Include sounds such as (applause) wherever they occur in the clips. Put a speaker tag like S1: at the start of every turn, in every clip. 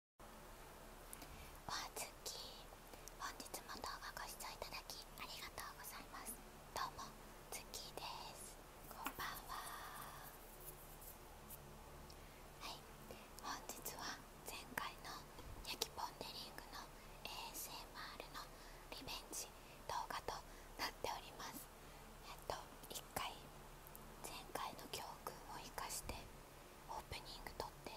S1: わあ本日も動画ご視聴いただきありがとうございますどうもつきですこんばんははい本日は前回の焼きポンデリングの ASMR のリベンジ動画となっておりますえっと1回前回の教訓を生かしてオープニング撮って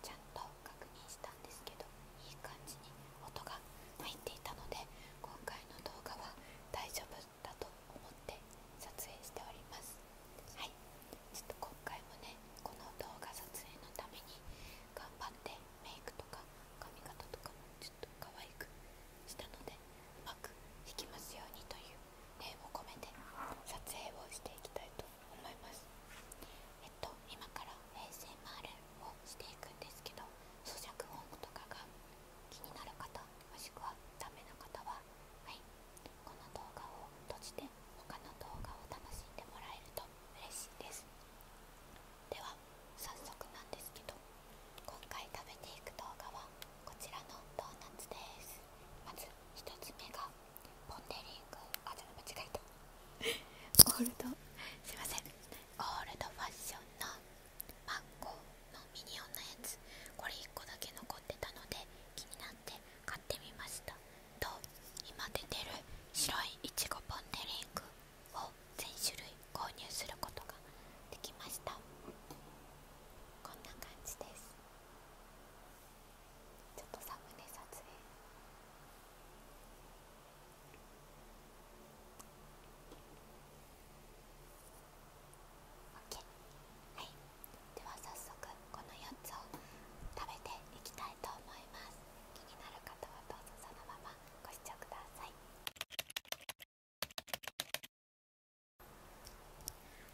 S1: ちゃんと確認したんですけどいい感じに音が入っていたので今回の動画は大丈夫だと思って撮影しておりますはいちょっと今回もねこの動画撮影のために頑張ってメイクとか髪型とかもちょっと可愛くしたのでうまく弾きますようにという念を込め撮影をしていきたいと思いますえっと今から平成マーをしていくんですけど咀嚼音とかが気になる方もしくはダメな方ははいこの動画を閉じて他の動画を楽しんでもらえると嬉しいですでは早速なんですけど今回食べていく動画はこちらのドーナツですまず1つ目がポンデリングあちょっと間違えたオールドすいませんゴールドファッションのマッゴーのミニオンのやつこれ1個だけ残ってたので気になって買ってみましたと今出てる白いイチゴポンデリングを全種類購入することができましたこんな感じですちょっとサムネ撮影オッケーはいでは早速この4つを食べていきたいと思います気になる方はどうぞそのままご視聴ください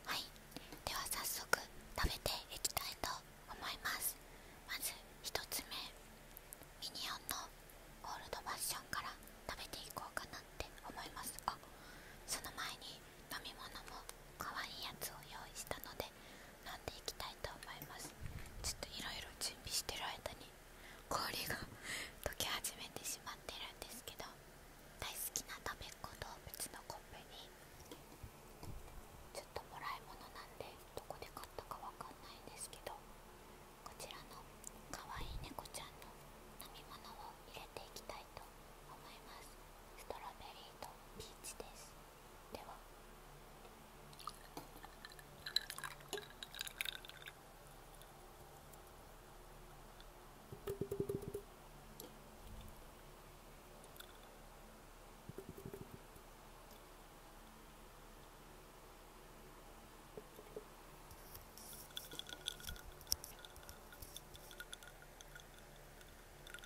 S1: はいでは早速食べていきたいと思いますまず1つ目ミニオンのオールドファッションから食べていこうかなって思いますが、その前に飲み物も可愛いやつを用意したので飲んでいきたいと思いますちょっといろいろ準備してる間に氷が溶け始めてしまってるんですけど大好きなたべっ子動物のコップにちょっともらい物なんでどこで買ったかわかんないんですけどこちらのかわいい猫ちゃんの飲み物を入れていきたいと思いますストロベリーとピーチですではい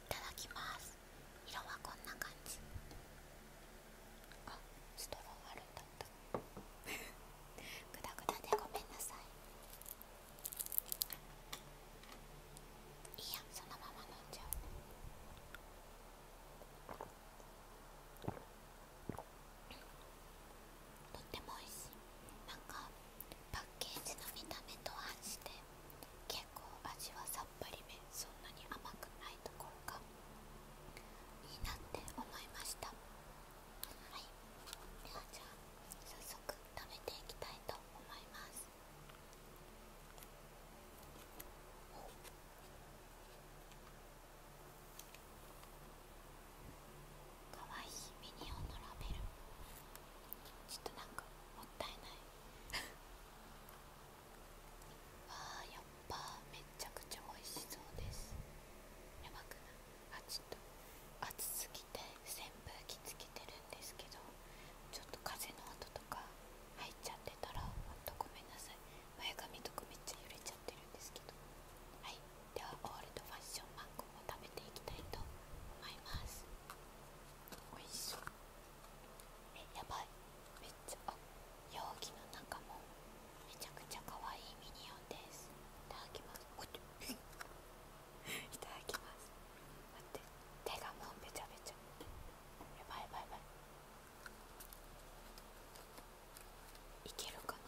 S1: ただきます色はこんな感じストローあるんだった (laughs) グダグダでごめんなさいいいやそのまま飲んじゃうとっても美味しいなんかパッケージの見た目と反して結構味はさっぱりめそんなに甘くないところがいいなって思いましたはいではじゃあ早速食べていきたいと思いますかわいいミニオンのラベルちょっとなんかもったいない (laughs) わあやっぱめっちゃくちゃ美味しそうですやばくないあちょっと熱すぎ機扇風機つけてるんですけどちょっと風の音とか入っちゃってたらほんとごめんなさい前髪とかめっちゃ揺れちゃってるんですけどはいではオールドファッションマンゴーを食べていきたいと思いますおいしそうえやばいめっちゃあ容器の中もめちゃくちゃ可愛いミニオンですいただきますいただきます待って手がもうべちゃべちゃやばいやばいやばいいけるかな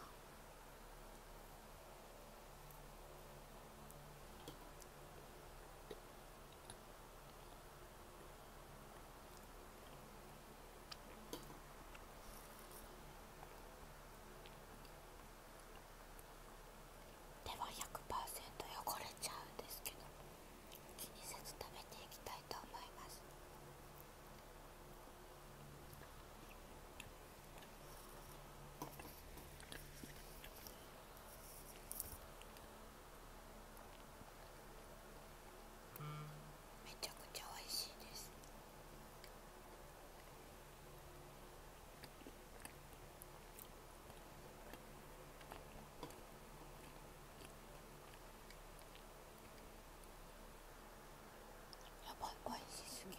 S1: 手は100%汚れちゃうんですけど気にせず食べていきたいと思いますめちゃくちゃ美味しいです。やばいおいしすぎ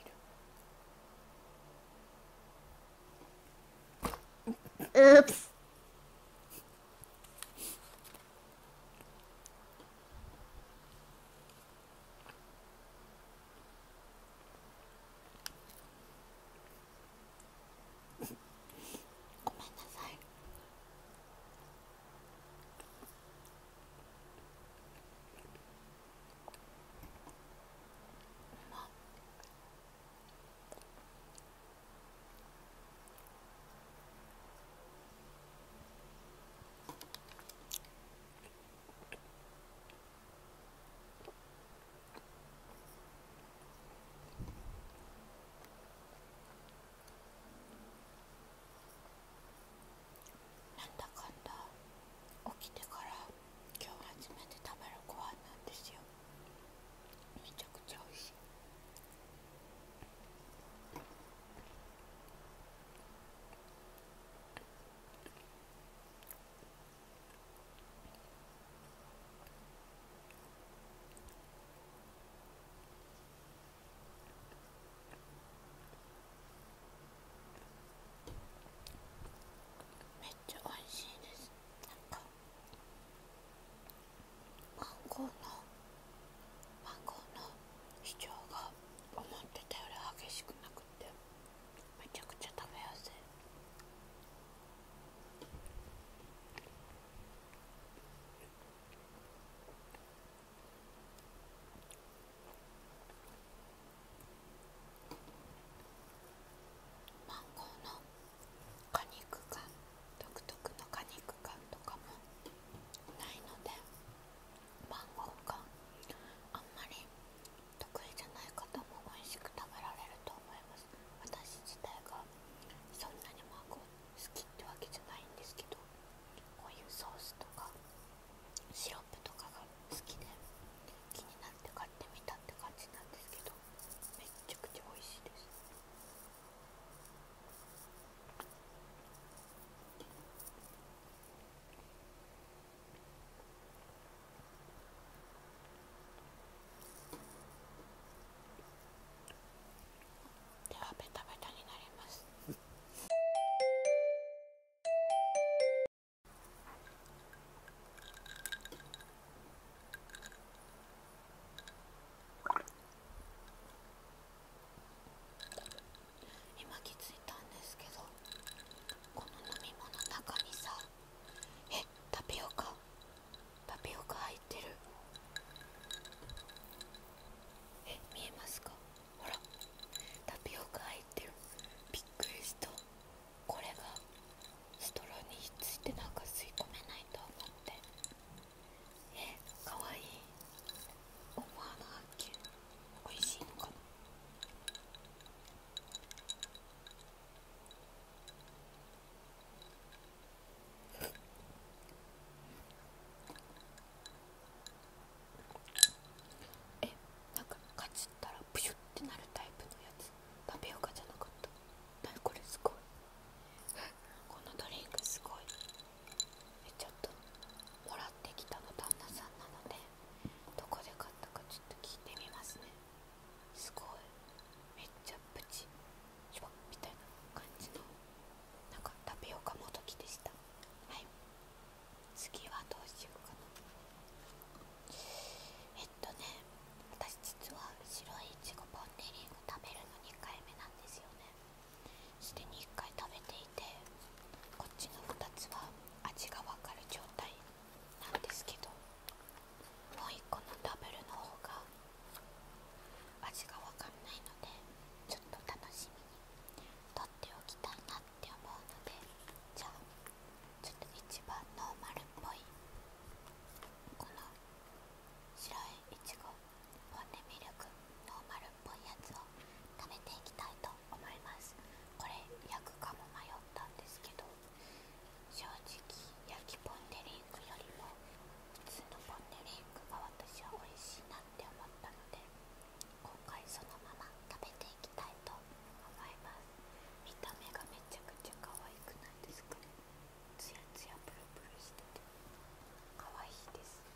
S1: るうっごめんなさいまっなんだかんだ起きてから今日初めて食べるご飯なんですよめちゃくちゃ美味しいめっちゃ美味しいですなんかマンゴーのマンゴーの主張が思ってたより激しくなくてめちゃくちゃ食べやすいマンゴーの果肉感独特の果肉感とかもないのでマンゴーがあんまり得意じゃない方も美味しく食べられると思います私自体がそんなにマンゴー好きってわけじゃないんですけどこういうソースとかシロップとかが好きで気になって買ってみたって感じなんですけどめっちゃくちゃ美味しいですではベタベタになります今気づいたんですけどこの飲み物の中にさえタピオカタピオカ入ってるえ見えますかほらタピオカ入ってるびっくりしたこれがストローにひっついてなんか吸い込めないと思ってえかわいい思わなかった。美味しいのかなえなんかかじったらプシュってなるタイプのやつ食べようじゃなかった何これすごい (laughs) このドリンクすごいちょっともらってきたの旦那さんなのでどこで買ったかちょっと聞いてみますねすごいめっちゃプチシュッみたいな感じのなんかタピオカもどきでしたはい次はどうしようかなえっとね私実は白いイチゴポンデリング食べるの2回目なんですよねすでに1回食べていてこっちの2つは味がわかる状態なんですけどもう1個のダブルの方が味がわかんないのでちょっと楽しみにとっておきたいなって思うのでじゃあちょっと一番ノーマルっぽいこの白いイチゴ。ポンデミルクノーマルっぽいやつを食べていきたいと思いますこれ焼くかも迷ったんですけど正直焼きポンデリンクよりも普通のポンデリンクが私は美味しいなって思ったので今回そのまま食べていきたいと思います見た目がめちゃくちゃ可愛くないですかねツヤツヤプルプルしてて可愛いです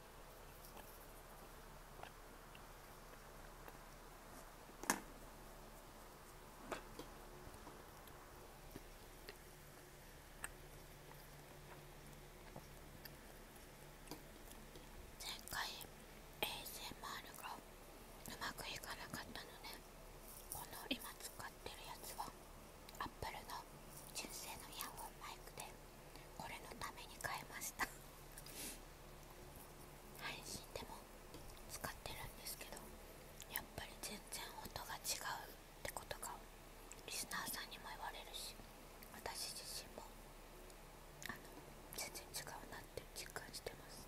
S1: 前回 ASMR がうまくいかなかったのでこの今使ってるやつは Apple の純正のイヤホンマイクでこれのために買いました配信でも使ってるんですけどやっぱり全然音が違うってことがリスナーさんにも言われるし私自身もあの全然違うなって実感してます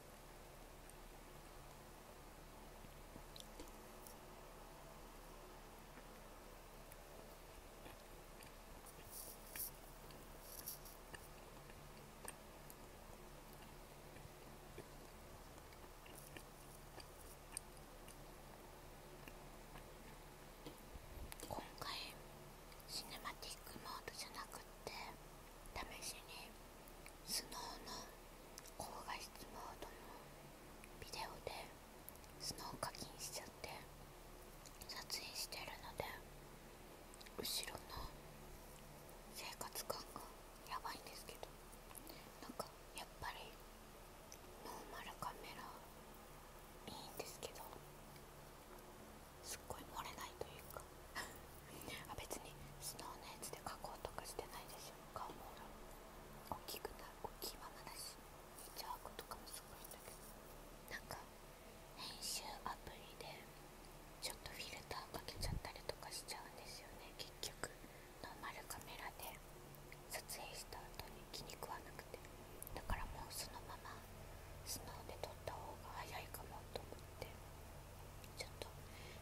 S1: 今回シネマティックモードじゃなくって試しにスノーの高画質モードのビデオでスノー課金しちゃって撮影してるので後ろの生活感がやばいんですけどなんかやっぱりノーマルカメラいいんですけどすっごい漏れないというか (laughs) あ別にスノーのやつで描こうとかしてないですよ顔も大きくな大きいままだしイチャークとかもすごいんだけどなんか編集アプリでちょっとフィルターかけちゃったりとかしちゃうんですよね結局ノーマルカメラで撮影した後に気に食わなくてだからもうそのままスノーで撮った方が早いかもと思ちょっと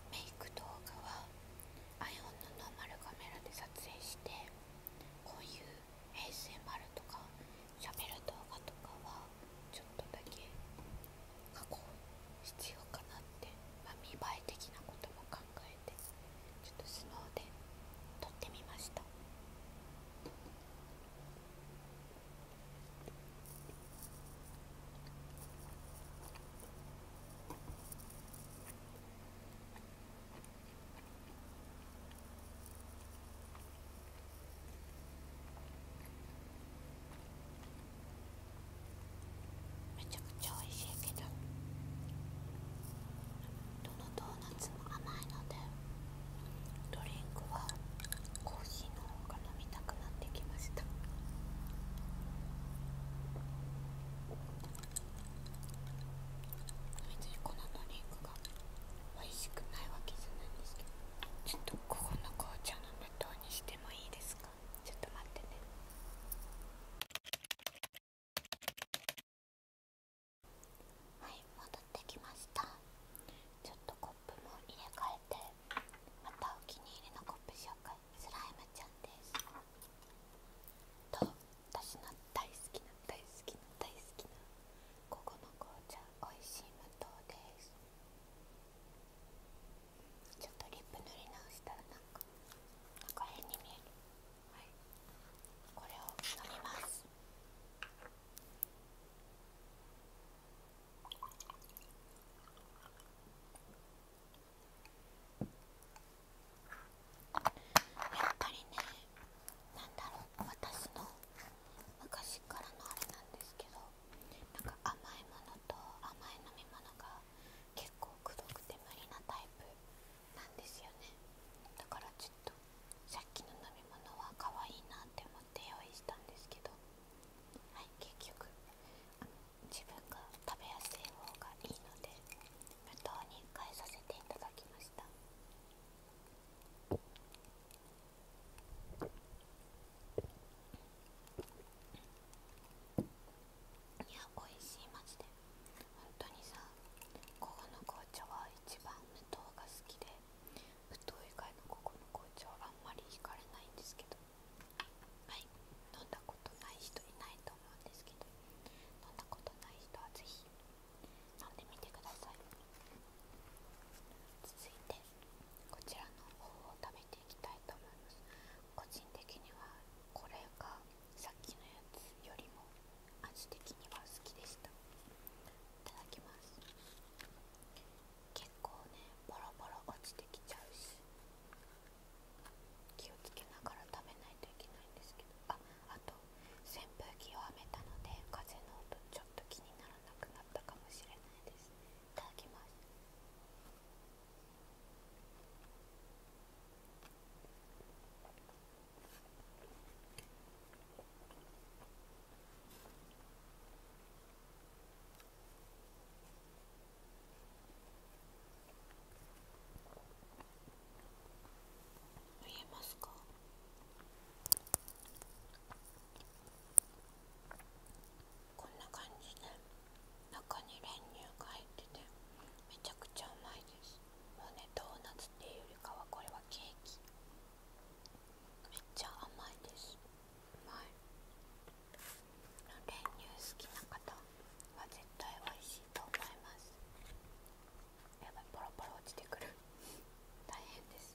S1: メイク動画は iPhone のノーマルカメラで撮影してこういう ASMR とかしゃべる動画とかはちょっとだけ加工必要かなって、ま見栄え的なことも考えてちょっとスノーで撮ってみました。めちゃくちゃ美味しいけどどのドーナツも甘いのでドリンクはコーヒーの方が飲みたくなってきました別にこのドリンクが美味しくないわけじゃないんですけどちょっとここの紅茶の無糖にしてもいいですかちょっと待ってねはい戻ってきましたちょっとプも入れ替えてまたお気に入りのコップ紹介スライムちゃんですと私の大好きな大好きな大好きなここの紅茶おいしい無糖ですちょっとリップ塗り直したらなんかなん変に見えるはいこれを飲みますやっぱりね何だろう私の昔からのあれなんですけどなんか甘いものと甘い飲み物が結構くどくて無理なタイプなんですよねだからちょっとさっきの飲み物は可愛いなって思って。っ用意したんですけどはい結局自分が食べやすい方がいいので無糖に変えさせていただきましたいや美味しいマジで本当にさここの紅茶は一番無糖が好きでぶど以外のここの紅茶はあんまり惹かれないんですけどはい飲んだことない人いないと思うんですけど飲んだことない人はぜひ飲んでみてください続いてこちらの方を食べていきたいと思います個人的にはこれがさっきのやつよりも味的には好きでしたただきます結構ねボロボロ落ちてきちゃうし気をつけながら食べないといけないんですけどああと扇風機をはめたので風の音ちょっと気にならなくなったかもしれないですいただきます見えますかこんな感じで中に練乳が入っててめちゃくちゃうまいですもうねドーナツっていうよりかはこれはケーキめっちゃ甘いですうまい練乳好きな方は絶対おいしいと思いますやばいポロポロ落ちてくる (laughs) 大変です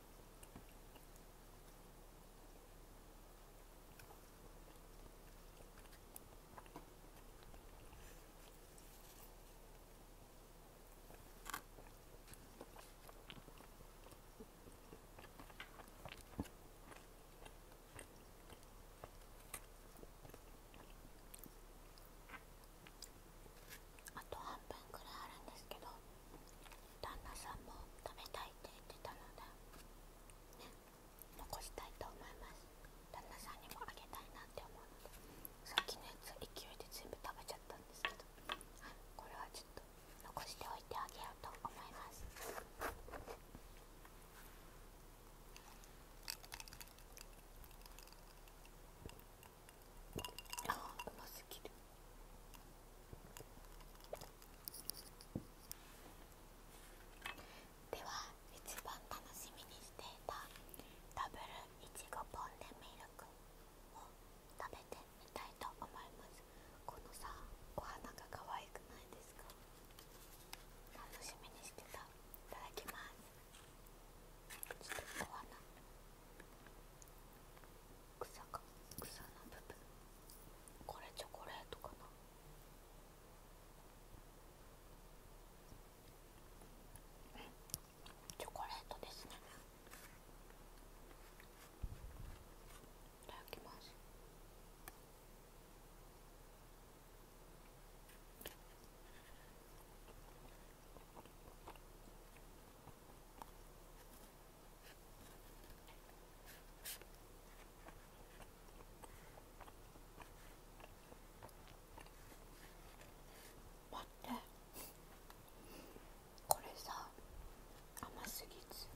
S1: あと半分くらいあるんですけど。旦那さんも食べたいって言ってたので、ね、残したいと思います旦那さんにもあげたいなって思うのでさっきのやつ勢いで全部食べちゃったんですけど、はい、これはちょっと残しておいてあげようと思いますあうますぎるでは一番楽しみにしていたダブルいちごポンデミルクを食べてみたいと思いますこのさお花が可愛くないですか楽しみにしてたいただきます草か草の部分これチョコレートかなうん、チョコレートですねいただきます待ってこれさ甘すぎず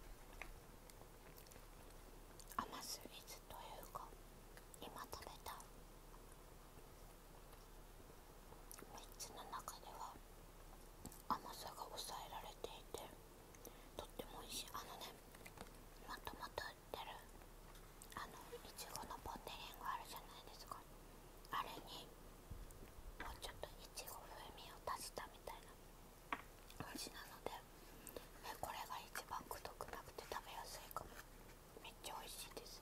S1: 甘すぎずというか今食べた3つの中では甘さが抑えられていてとっても美味しいあのねまともと売ってるあのいちごのポン・デ・リンがあるじゃないですかあれにもうちょっといちご風味を足したみたいな味なので、ね、これが一番くどくなくて食べやすいかもめっちゃ美味しいです。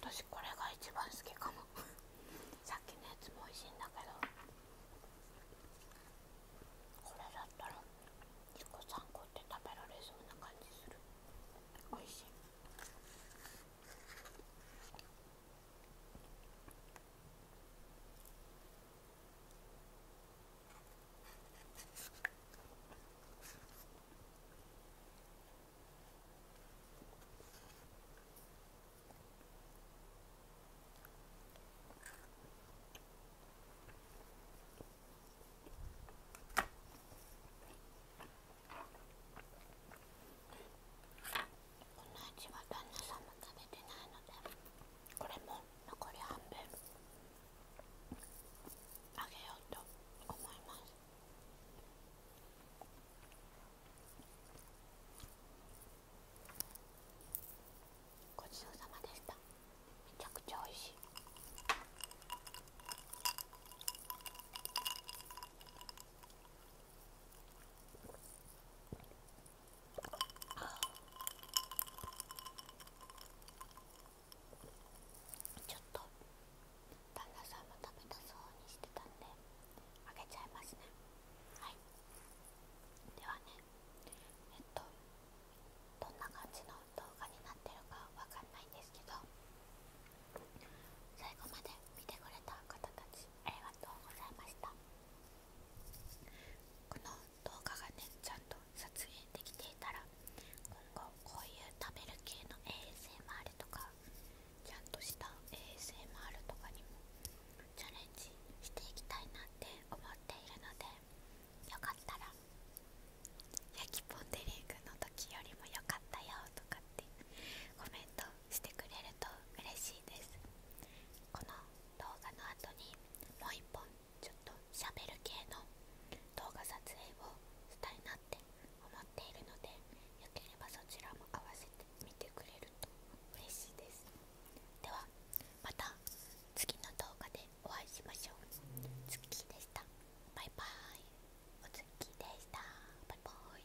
S1: 私これが一番好きかも (laughs) さっきのやつも美味しいんだけどこれだったら1個3個って食べられそうな感じする美味しいんな味は旦那さんも食べてないのでこれも残り半分あげようと思いますごちそうさまでしためちゃくちゃ美味しいあちょっと旦那さんも食べたそうにしてたんであげちゃいますねはいではねえっとどんな感じの動画になってるかわかんないんですけど最後まで見てくれた方たちありがとうございましたこの動画がねちゃんと撮影できていたら今後こういう食べる系の ASMR とかちゃんとした ASMR とかにもチャレンジしていきたいなって思っているのでよかったら焼きポンデリングの時よりも良かったよとかってコメントしてくれると嬉しいですこの動画の後にもう一本ちょっとしゃべる系の動画撮影をしたいなって思っているのでよければそちらも合わせてみてくれると嬉しいですではまた次の動画でお会いしましょうツッキーでしたバイバーイおつっきーでしたバイバイ